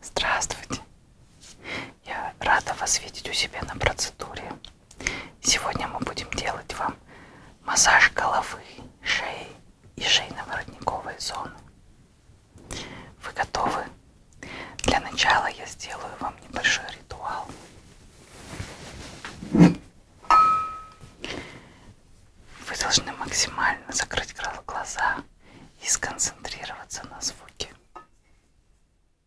Здравствуйте! Я рада вас видеть у себя на процедуре. Сегодня мы будем делать вам массаж головы, шеи и шейно-воротниковой зоны. Вы готовы? Для начала я сделаю вам небольшой ритуал. Вы должны максимально закрыть глаза и сконцентрироваться на звуке.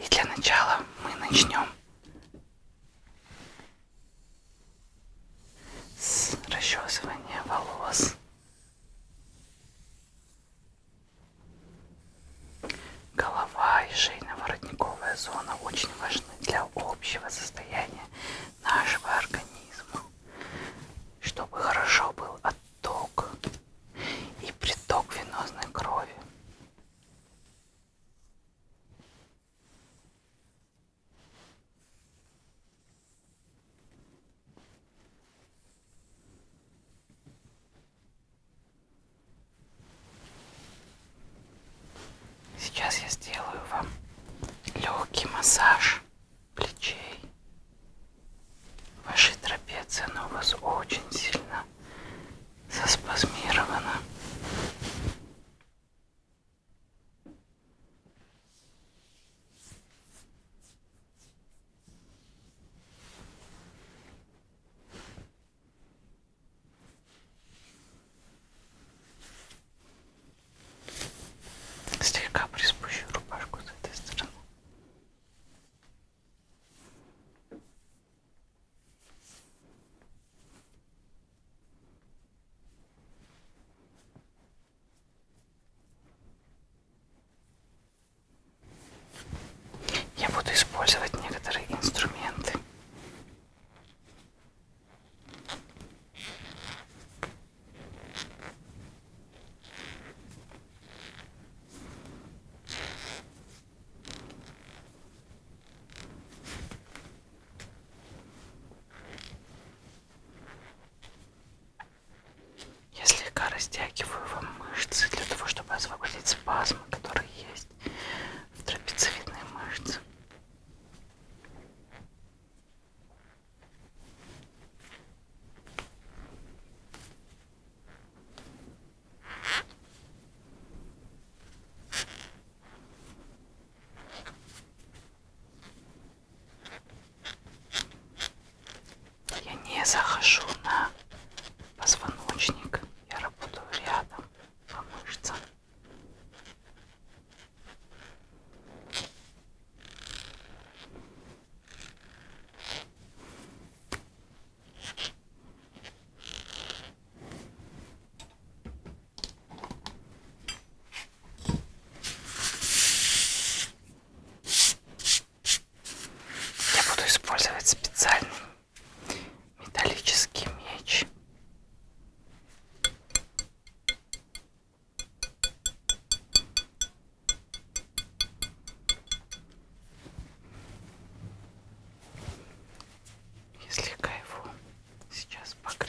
И для начала мы начнем с расчесывания волос. Голова и шейно-воротниковая зона очень важны для общего состояния нашего организма, чтобы хорошо был отток и приток венозной крови. Сейчас я сделаю вам легкий массаж плечей. Ваши трапеции, оно у вас очень сильно заспазмирована. Слегка приспущу рубашку с этой стороны. Я буду использовать некоторые инструменты. Я слегка растягиваю вам мышцы для того, чтобы освободить спазмы, которые есть в трапециевидной мышце. Я не захожу на позвоночник, я работаю рядом по мышцам. Я буду использовать специальный металлический меч. Я слегка его сейчас погрею.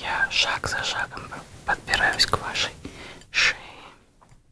Я шаг за шагом подбираюсь к вашей шее.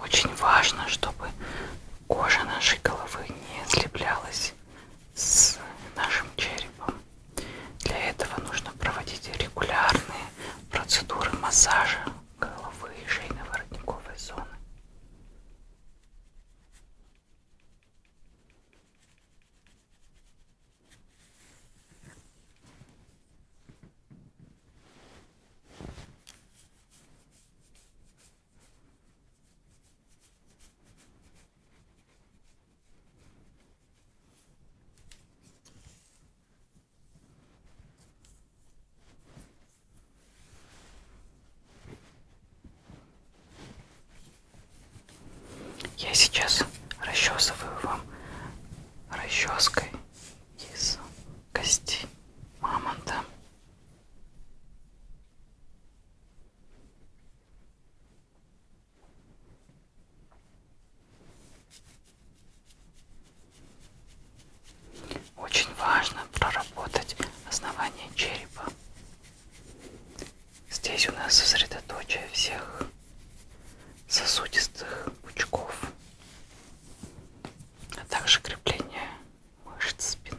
Очень важно, чтобы кожа нашей головы не слеплялась с нашим черепом. Для этого нужно проводить регулярные процедуры массажа головы и шейно-воротниковой зоны. Я сейчас расчесываю вам расческой из кости мамонта. Очень важно проработать основание черепа. Здесь у нас сосредоточие всех сосудистых пучков, а также крепление мышц спины.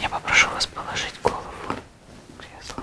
Я попрошу вас положить голову в кресло.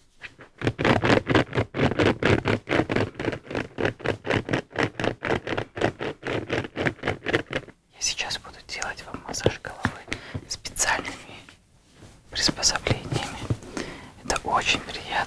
Я сейчас буду делать вам массаж головы специальными приспособлениями. Это очень приятно.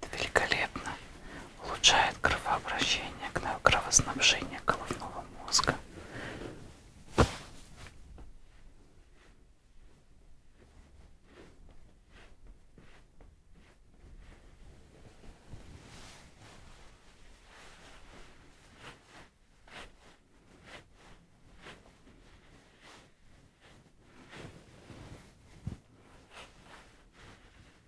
Это великолепно улучшает кровообращение, кровоснабжение головного мозга.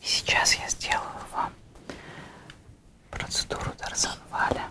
И сейчас я сделаю вам процедуру Дарзанваля.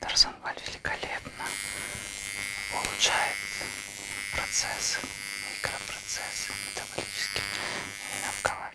Тарзанваль великолепно улучшает процессы, микропроцессы метаболические именно в голове.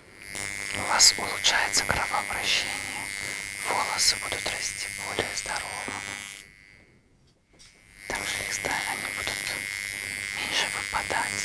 У вас улучшается кровообращение. Волосы будут расти более здоровыми. Также их стали, они будут меньше выпадать.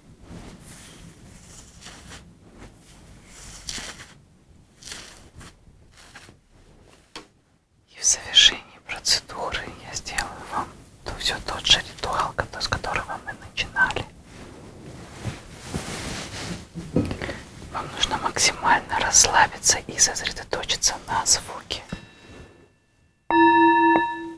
И в завершении процедуры я сделаю вам то все тот же ритуал, с которого мы начинали. Вам нужно максимально расслабиться и сосредоточиться на звуке.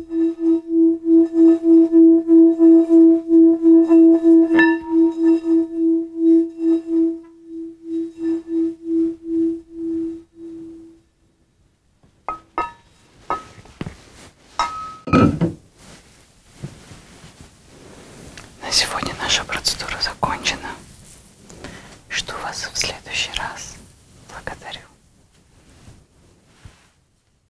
На сегодня наша процедура закончена. Жду вас в следующий раз. Благодарю.